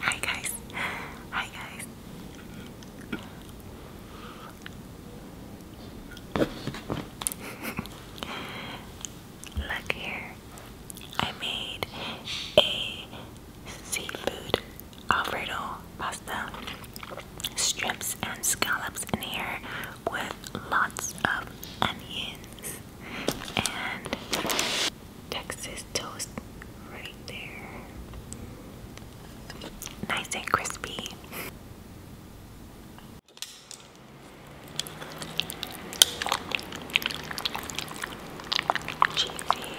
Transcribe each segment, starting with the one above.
Hi guys. Hi guys. Look here. I made a seafood Alfredo pasta strips and scallops in here with lots of onions and Texas toast right there. Nice and crispy. Cheesy.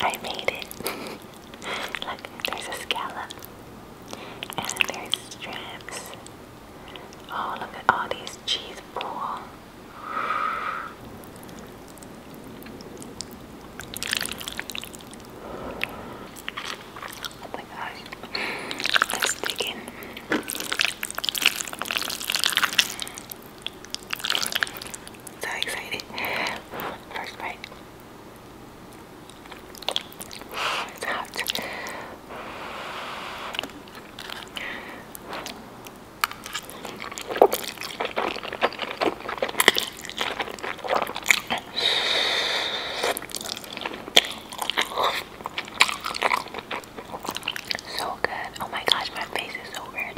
I made it. Look, there's a scallop. And there's strips. Oh, look at all these cheese pool. Oh my gosh. It's sticking. So excited. First bite. It's hot. So good. Oh my gosh, my face is so red.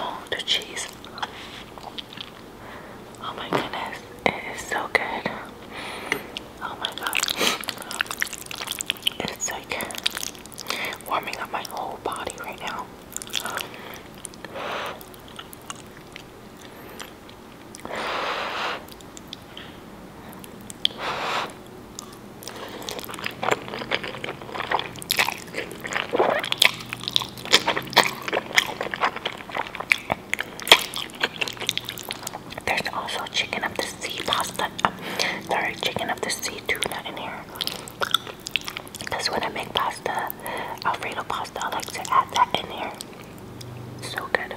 Oh, the cheese. Oh my goodness, it is so good. Oh my god. It's like warming up my whole body right now. There's also chicken of the sea pasta. Um, sorry, chicken of the sea tuna in here. Because when I make pasta, Alfredo pasta, I like to add that in here. So good.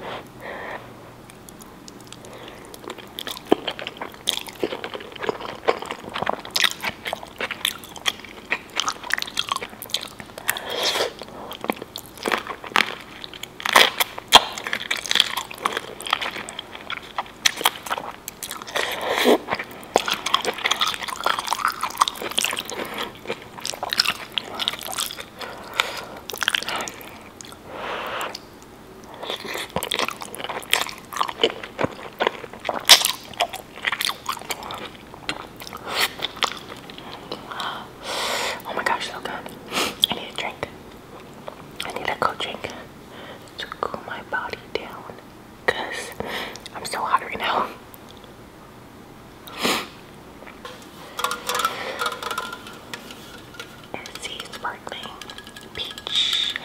Oh my gosh, so good. I need a drink. I need a cold drink to cool my body down because I'm so hot right now. let sparkling peach.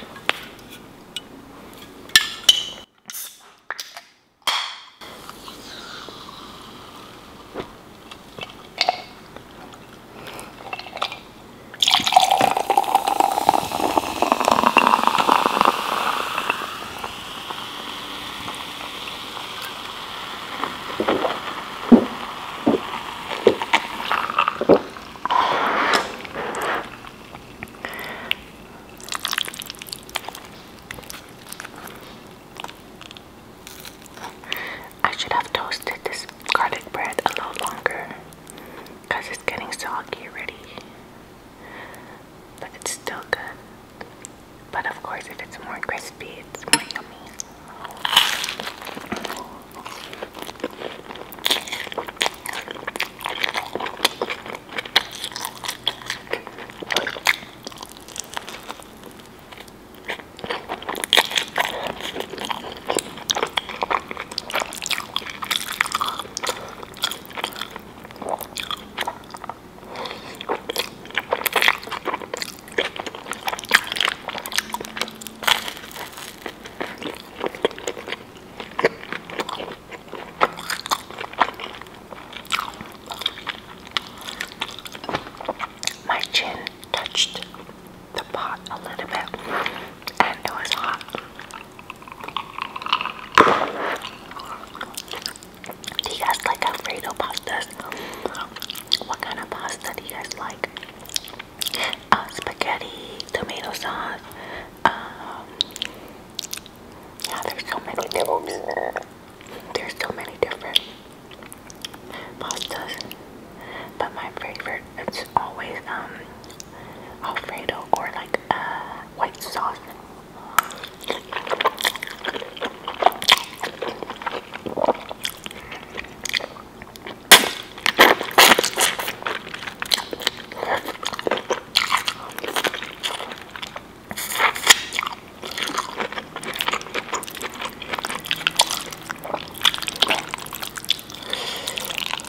I should have toasted this garlic bread a little longer because it's getting soggy already. But it's still good. But of course, if it's more crispy, it's more yummy. My chin touched the pot a little bit and it was hot. Do you guys like Alfredo pasta? What kind of pasta do you guys like? Uh, spaghetti, tomato sauce. Um, yeah, there's so many different. There's so many different pastas, but my favorite its always um Alfredo or like uh, white sauce.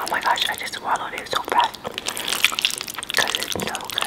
Oh my gosh, I just swallowed it so fast. Cause it's so good.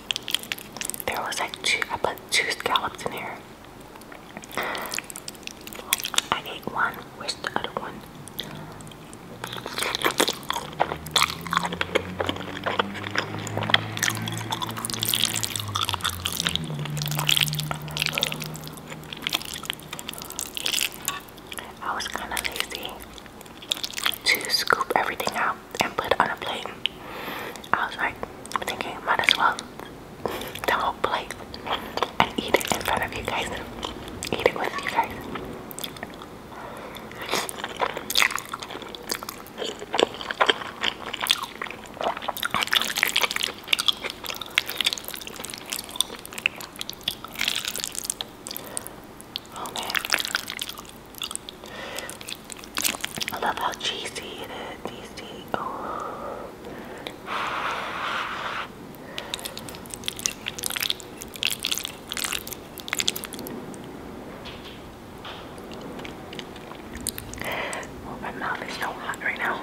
There was like two, I put two scallops in here. I ate one, where's the other one? I was kind of lazy to scoop everything out and put on a plate. I was like thinking, might as well the whole plate and eat it in front of you guys. Eat it with you guys. Oh man. I love how cheesy it is. Cheesy. Oh. oh, my mouth is so hot right now.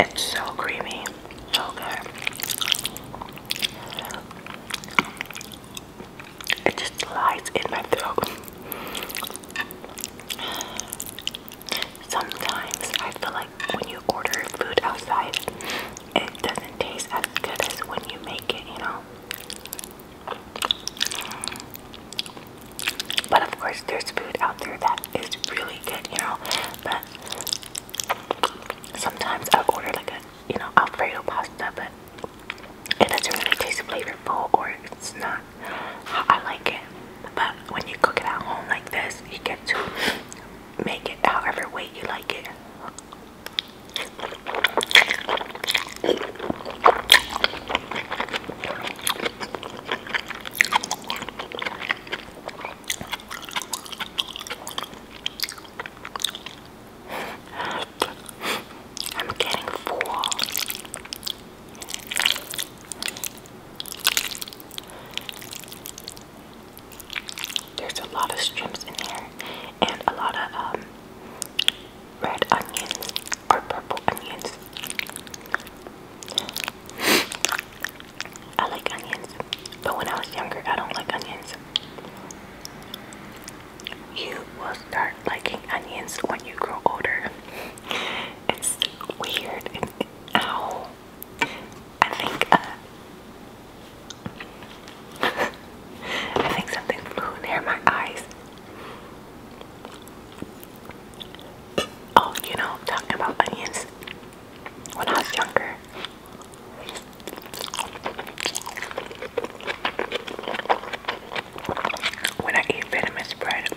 It's so creamy, so good. It just lies in my throat. Sometimes I feel like when you order food outside, it doesn't taste as good as when you make it, you know? But of course, there's food out there that is really good, you know. But sometimes I order like a, you know, Alfredo pasta, but it doesn't really taste flavorful or it's not how I like it. But when you cook it at home like this, you get to make it however way you like it. I'm getting full. There's a lot of strips in here and a lot of um, red onions or purple onions. I like onions, but when I was younger, I don't like onions. You will start liking onions when you grow older. It's weird. It, ow. I think. Uh, I think something flew near my eyes. Oh, you know, talking about onions. When I was younger, when I eat venomous bread,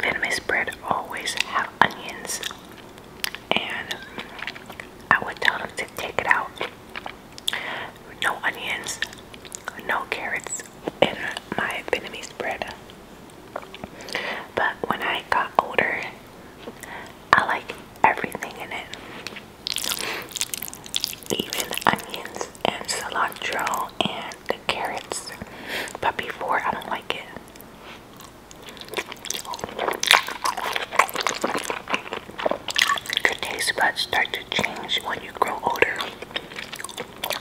venomous bread always have onions, and I would tell them to take it out. No onions, no carrots in my Vietnamese bread. But when I got older, I like everything in it. Even onions and cilantro and the carrots. But before, I don't like it. Your taste buds start to change when you grow older.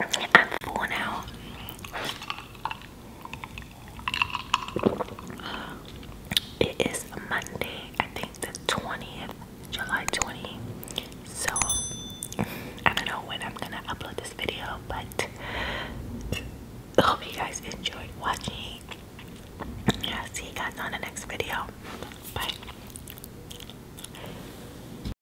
I'm full now. It is Monday, I think the 20th, July 20. So I don't know when I'm gonna upload this video, but hope you guys enjoyed watching. I'll see you guys on the next video. Bye.